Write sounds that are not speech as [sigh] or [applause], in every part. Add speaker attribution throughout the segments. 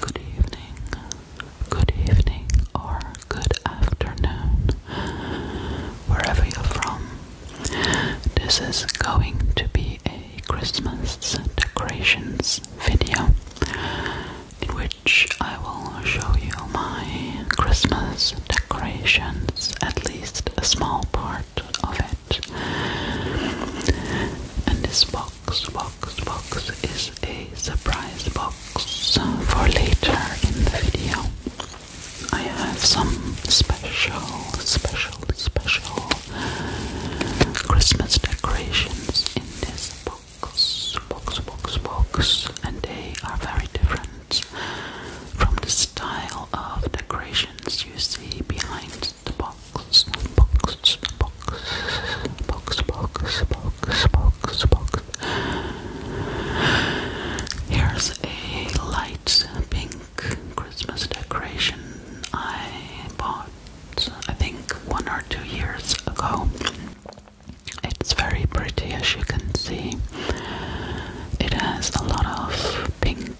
Speaker 1: Good evening, good evening, or good afternoon, wherever you're from. This is going to be a Christmas decorations video in which I will show you my Christmas decorations, at least a small part of it. And this box box, box, box is a surprise box for later in the video. I have some special, special, special Christmas decorations in this box, box, box, box, and they are very different from the style of decorations you see behind the box box, box, box, box, box, box, box, box. Here's a light pink Christmas decoration I bought, I think, one or two years ago. It's very pretty, as you can see. It has a lot of pink,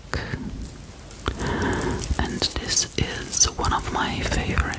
Speaker 1: and this is one of my favorite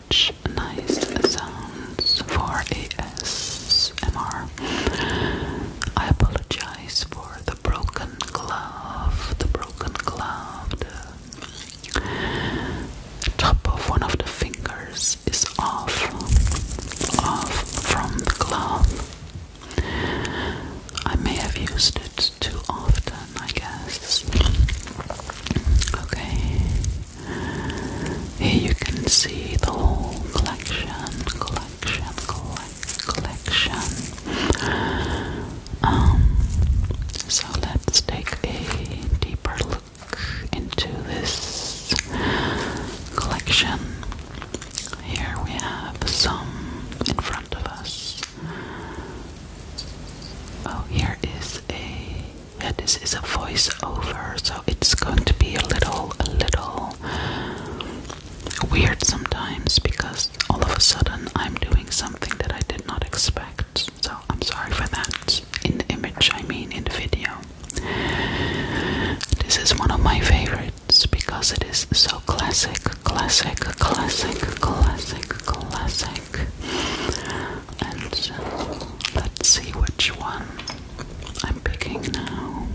Speaker 1: such nice sounds for ASMR. I apologize for the broken glove, the broken glove, the top of one of the fingers is off, off from the glove. I may have used it too often, I guess. Okay. Here you can see the whole collection, collection, collect, collection. Um, so let's take a deeper look into this collection. Here we have some in front of us. Oh, here is a yeah this is a voiceover so it's going to be a little a little weird sometimes because all of a sudden I'm doing something that I did not expect so I'm sorry for that in the image I mean in the video this is one of my favorites because it is so classic classic classic classic classic and uh, let's see which one I'm picking now.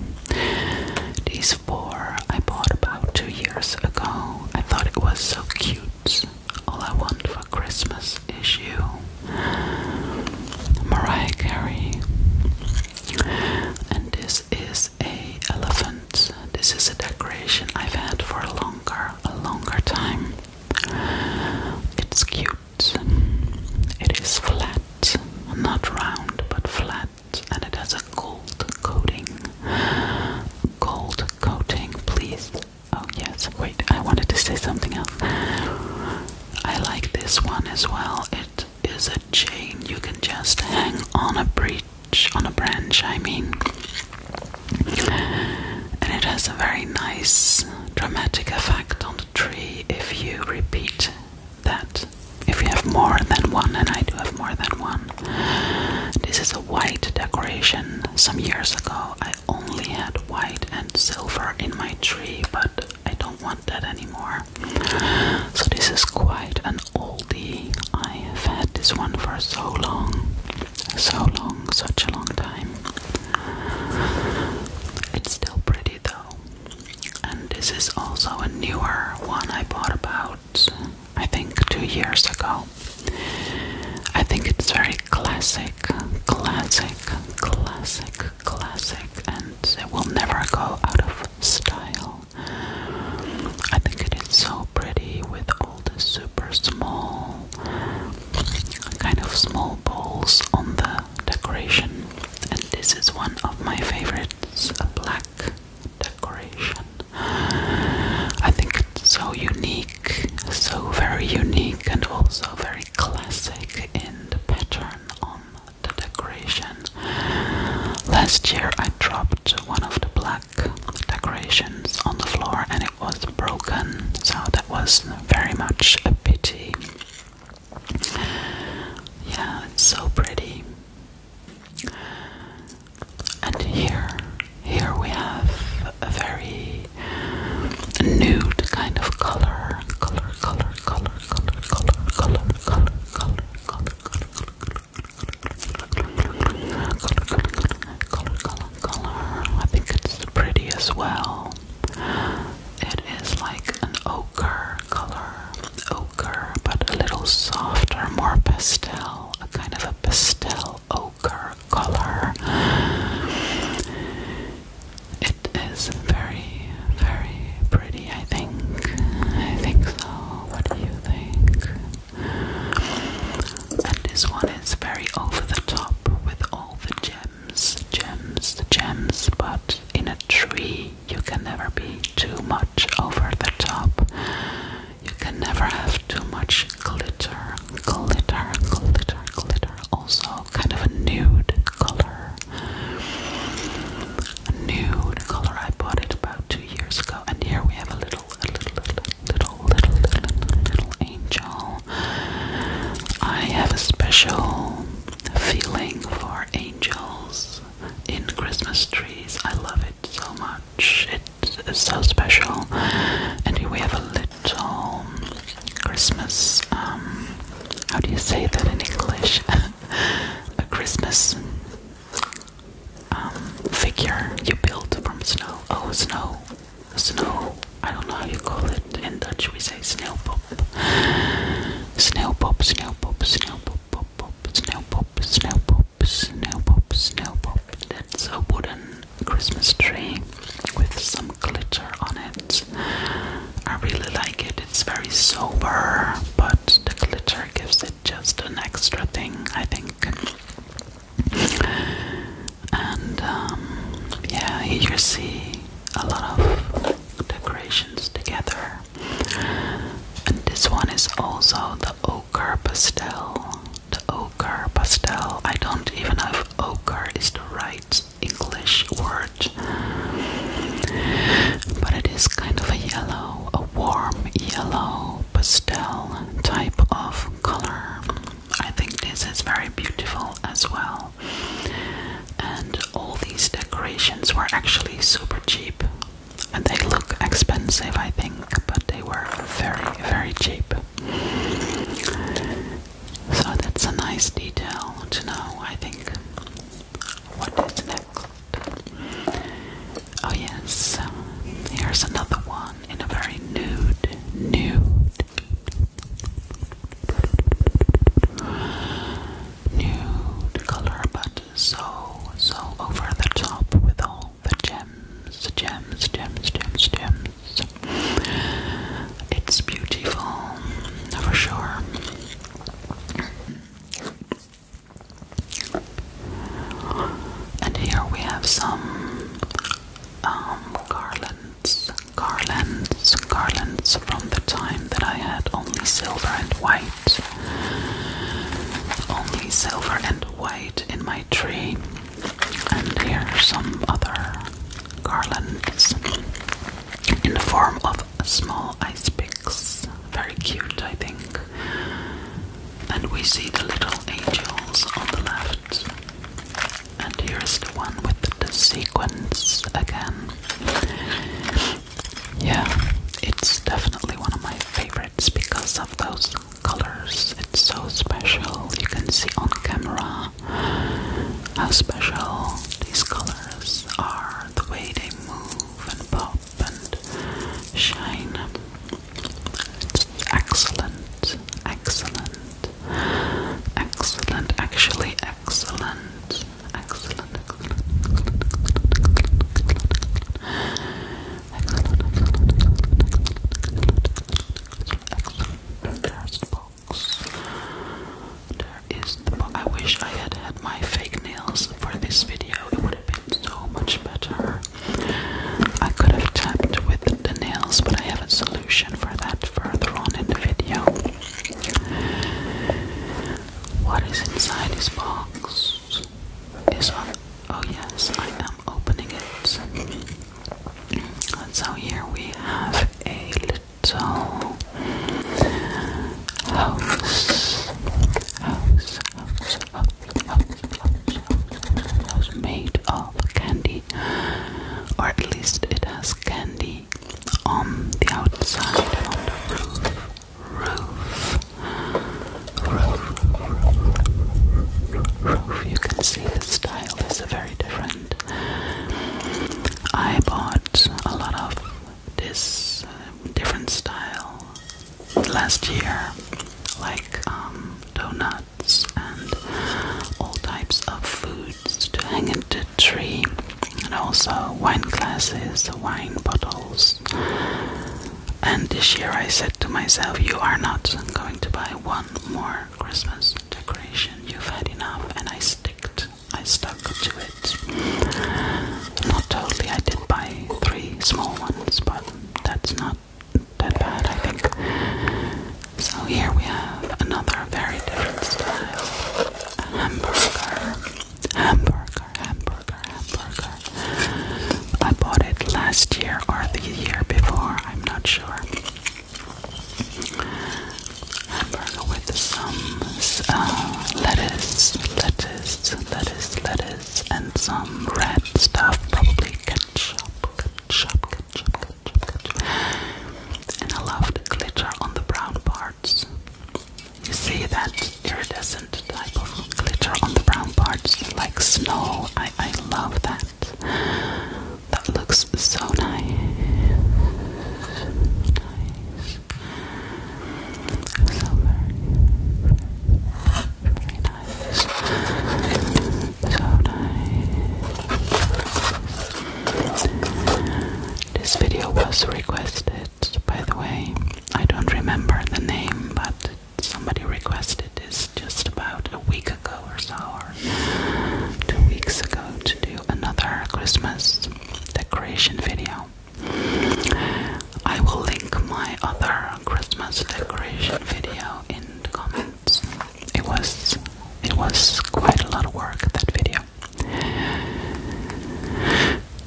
Speaker 1: These four I bought about two years ago. I thought it was so cute. All I want for Christmas is you. Mariah Carey. And this is a elephant. This is a decoration I've had for a longer, a longer time. It's cute it is flat, not round, but flat, and it has a gold coating. Gold coating, please. Oh, yes, wait, I wanted to say something else. I like this one as well. It is a chain you can just hang on a breach, on a branch, I mean and it has a very nice dramatic effect on the tree if you repeat that. If you have more than one, and I do have more than one. This is a white decoration. Some years ago, I only had white and silver in my tree, but I don't want that anymore. So, this is quite an oldie. I have had this one for so long, so long, such a long time. It's still pretty though. And this is also a newer one I bought about, I think, two years ago. I think it's very classic, classic, classic, classic, and it will never go out of style. I think it is so pretty with all the super small kind of small balls on the decoration, and this is one of my favorites a black decoration. I think it's so unique, so very unique, and also very classic in the pattern on the decoration. Last year I dropped one of the black decorations on the floor and it was broken, so that was very much a pity. Yeah, it's so pretty. And here, here we have a very nude kind of color, color, color, color, color, color, color, color, color, color, color, color, color, color, color. I think it's pretty as well. It is like an ochre color, ochre, but a little softer, more pastel, a kind of a pastel ochre color. It is very, very pretty, I think. I think so. What do you think? And this one is very over the top with all the gems gems, gems, gems, but in a tree you can never be too much over the top. You can never have too much glitter, glitter, glitter, glitter. Also, kind of a nude color. nude color. I bought it about two years ago, and here we have a little, a little, little, little little, little, little angel. I have a special feeling for angels in Christmas trees. I love it so much. It is so special. And here we have a little Christmas. Um, how do you say that in English? [laughs] a Christmas um, figure you built from snow. Oh, snow snow. I don't know how you call it in Dutch. We say snail pop, snail pop, snail pop, snail pop, pop, pop, snail pop, snail pop, snail pop, snail pop. That's a wooden Christmas tree with some glitter on it. I really like it. It's very sober, but the glitter gives it just an extra thing. I think. And um, yeah, you see a lot of decorations together. And this one is also the ochre pastel. The ochre pastel. I don't even know if ochre is the right English word, but it is kind of a yellow, a warm yellow pastel type of color. I think this is very beautiful as well. And all these decorations were actually super cheap. And they look expensive, I think, but they were very, very cheap. So that's a nice detail to know, I think. What is next? Oh, yes, here's another one in a very nude, nude nude color, but so, so over the top with all the gems, gems, gems, gems, gems. It's beautiful, for sure. And here we have some um, garland garlands, garlands, from the time that I had only silver and white. Only silver and white in my tree. And here are some other garlands in the form of small ice picks. Very cute, I think. And we see the little angels on the left. And here's the one with the sequence again. Yeah, it's definitely one of my favorites because of those colors. It's so special. You can see on camera how special these colors are, the way they move and pop and shine. Excellent, excellent, excellent, actually excellent, excellent, excellent, excellent, excellent, There's the box. There is the box. I wish I had had my fake nails for this video. It would have been so much better. I could have tapped with the nails, but I haven't, so solution for that further on in the video. What is inside this box is on. Oh, yes, I am opening it. so here we have a little House, house, house, house, house, house, house made of of candy, or at least it has candy on the outside on the roof. Roof. Roof. Roof. You can see the style is very different. I bought a lot of this uh, different style last year, like um, donut and all types of foods to hang in the tree, and also wine glasses, wine bottles. And this year I said to myself, You are not going to buy one more Christmas decoration, you've had enough, and I sticked. I stuck to it. Not totally, I did buy three small ones, but that's not not bad, I think. So here we have another very different style. hamburger. Hamburger, hamburger, hamburger. I bought it last year or the year before, I'm not sure. Hamburger with some uh, lettuce, lettuce, lettuce, lettuce, and some red stuff, probably ketchup, ketchup, ketchup, and I love the glitter on the brown parts. You see that iridescent type of glitter on the brown parts, like snow. I, I love that. That looks so nice. Nice. So very, very, nice. So nice. This video was requested, by the way. I don't remember the name, but somebody requested this just about a week ago or so, or two weeks ago, to do another Christmas decoration video. I will link my other Christmas decoration video in the comments it was it was quite a lot of work that video.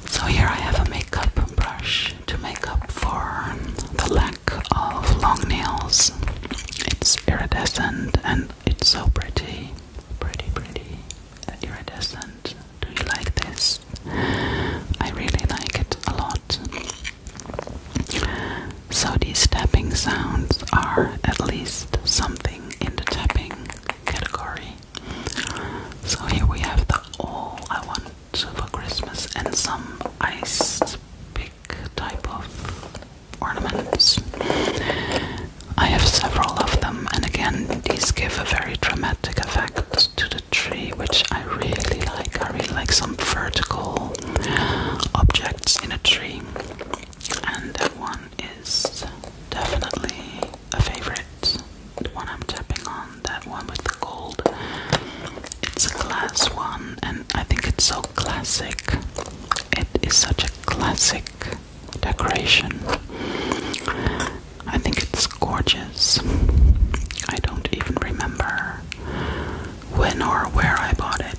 Speaker 1: So here I have a makeup brush to make up for the lack of long nails. It's iridescent and it's so pretty. Pretty pretty iridescent. Do you like this? I really like it a lot. So these tapping sounds are at least something in the tapping category. So here we have the all I want for Christmas and some iced pick type of ornaments. I have several of them and again these give a very dramatic effect to the tree which I really like. I really like some vertical objects in a tree, and that one is definitely a favorite. The one I'm tapping on, that one with the gold. It's a glass one, and I think it's so classic. It is such a classic decoration. I think it's gorgeous. I don't even remember when or where I bought it.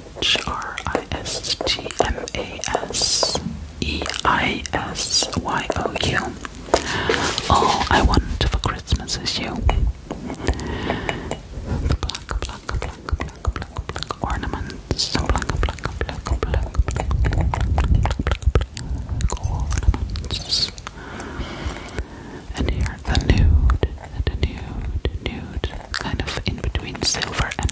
Speaker 1: H R I S T M A S E I S Y O U. All I want for Christmas is you. ornaments. And here the nude, the nude, nude, kind of in between silver and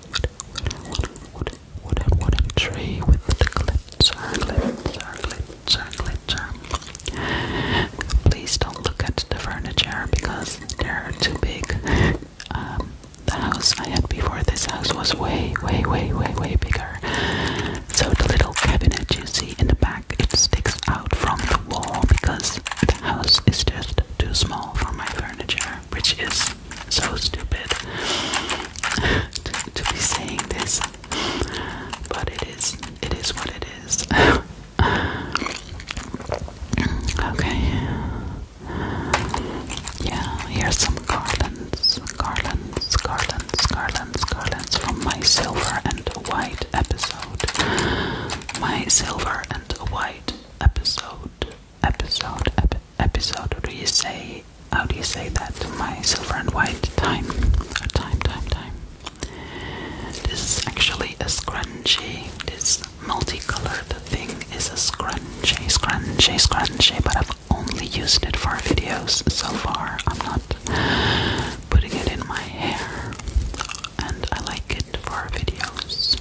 Speaker 1: wood, wood, wood, wooden tree with the glitzer, glitzer, glitzer, glitzer. Please don't look at the furniture because they're too big. Um, the house I had before this house was way, way, way, way, way bigger. So the little cabinet you see in the back, it sticks out from the wall because the house is just too small for my furniture which is so stupid to, be saying this, but it is. It is what it is. okay. Yeah, here's some garlands, garlands, garlands, garlands, garlands from my silver and white episode. My silver and white episode episode episode or do you say how do you say that my silver and white time time time time this is actually a scrunchie this multicolored thing is a scrunchie scrunchie scrunchie but I've only used it for videos so far I'm not putting it in my hair and I like it for videos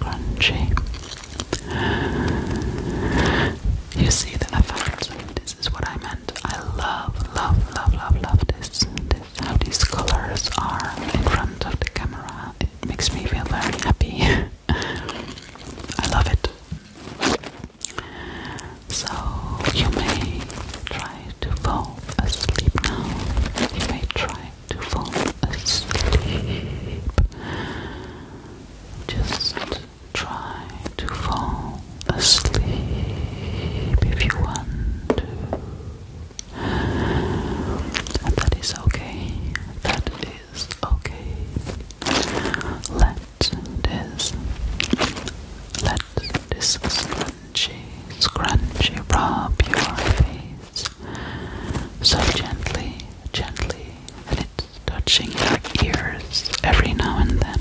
Speaker 1: Crunchy. You see the effect. This is what I meant. I love, love, love, love, love this. this how these colors are in front of the camera. It makes me feel very happy. [laughs] I love it. So you may try to fall asleep now. You may try to fall asleep. Just try to fall asleep if you want to. And that is okay. That is okay. Let this let let this scrunchy, scrunchy rub your face so gently, gently, it's touching your ears every now and then.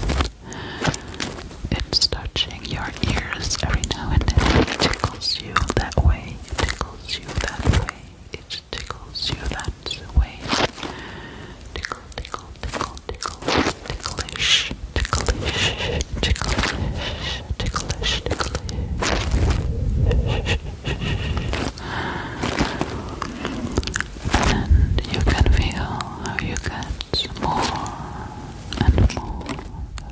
Speaker 1: It's touching your ears every now and then. It tickles you that way, it tickles you that way, it tickles you that way tickle, tickle, tickle, tickle, ticklish, ticklish, ticklish, ticklish, ticklish. And you can feel how you get more and more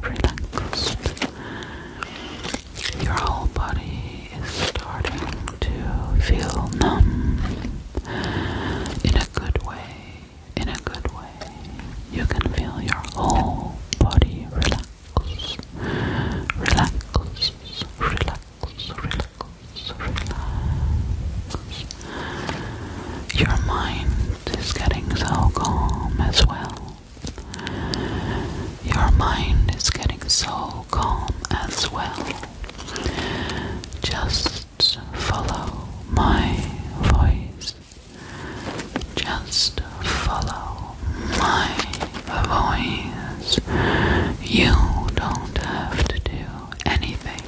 Speaker 1: relaxed. Your whole body is starting to feel numb in a good way in a good way. You can feel your whole body relax, relax, relax, relax, relax. Your mind is getting so calm as well. Your mind is getting so calm as well. Just just follow my voice. Just follow my voice. You don't have to do anything.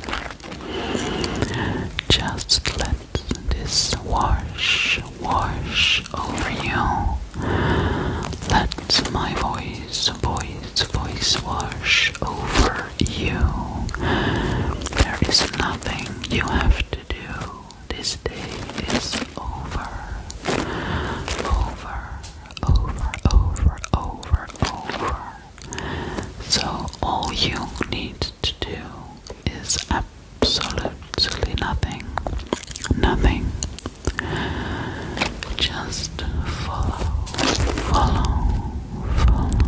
Speaker 1: Just let this wash, wash over you. Let my voice, voice, voice wash over you. There is nothing you have to do. This day is over. Over, over, over, over, over. So all you need to do is absolutely nothing. Nothing. Just follow, follow, follow,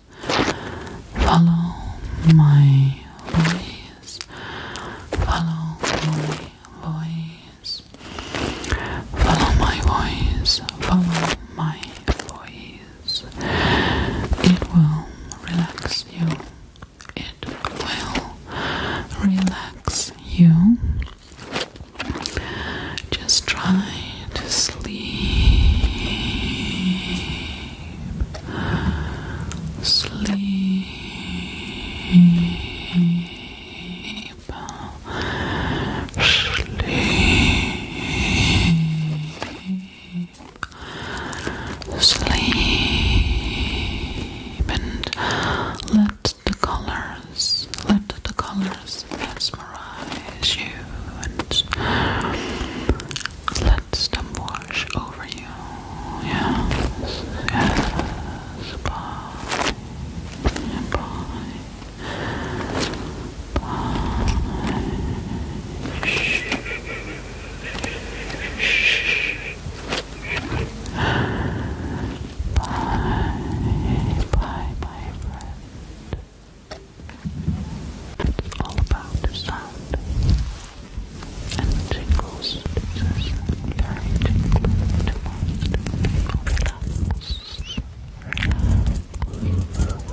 Speaker 1: Follow my voice. Follow my voice. Follow my voice. Follow my voice. It will relax you. It will relax you. Just try to sleep. Sleep. Sleep. Sleep and let the colors, let the colors just mesmerize you and let them wash over you. Yes, yes, bye, bye, bye. Shh. Bye, bye, my friend. It's all about the sound and tingles. It's very tingling to most people. It's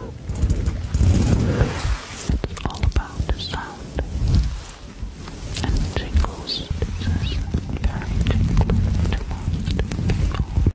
Speaker 1: all about the sound and tingles. It's very tingling to most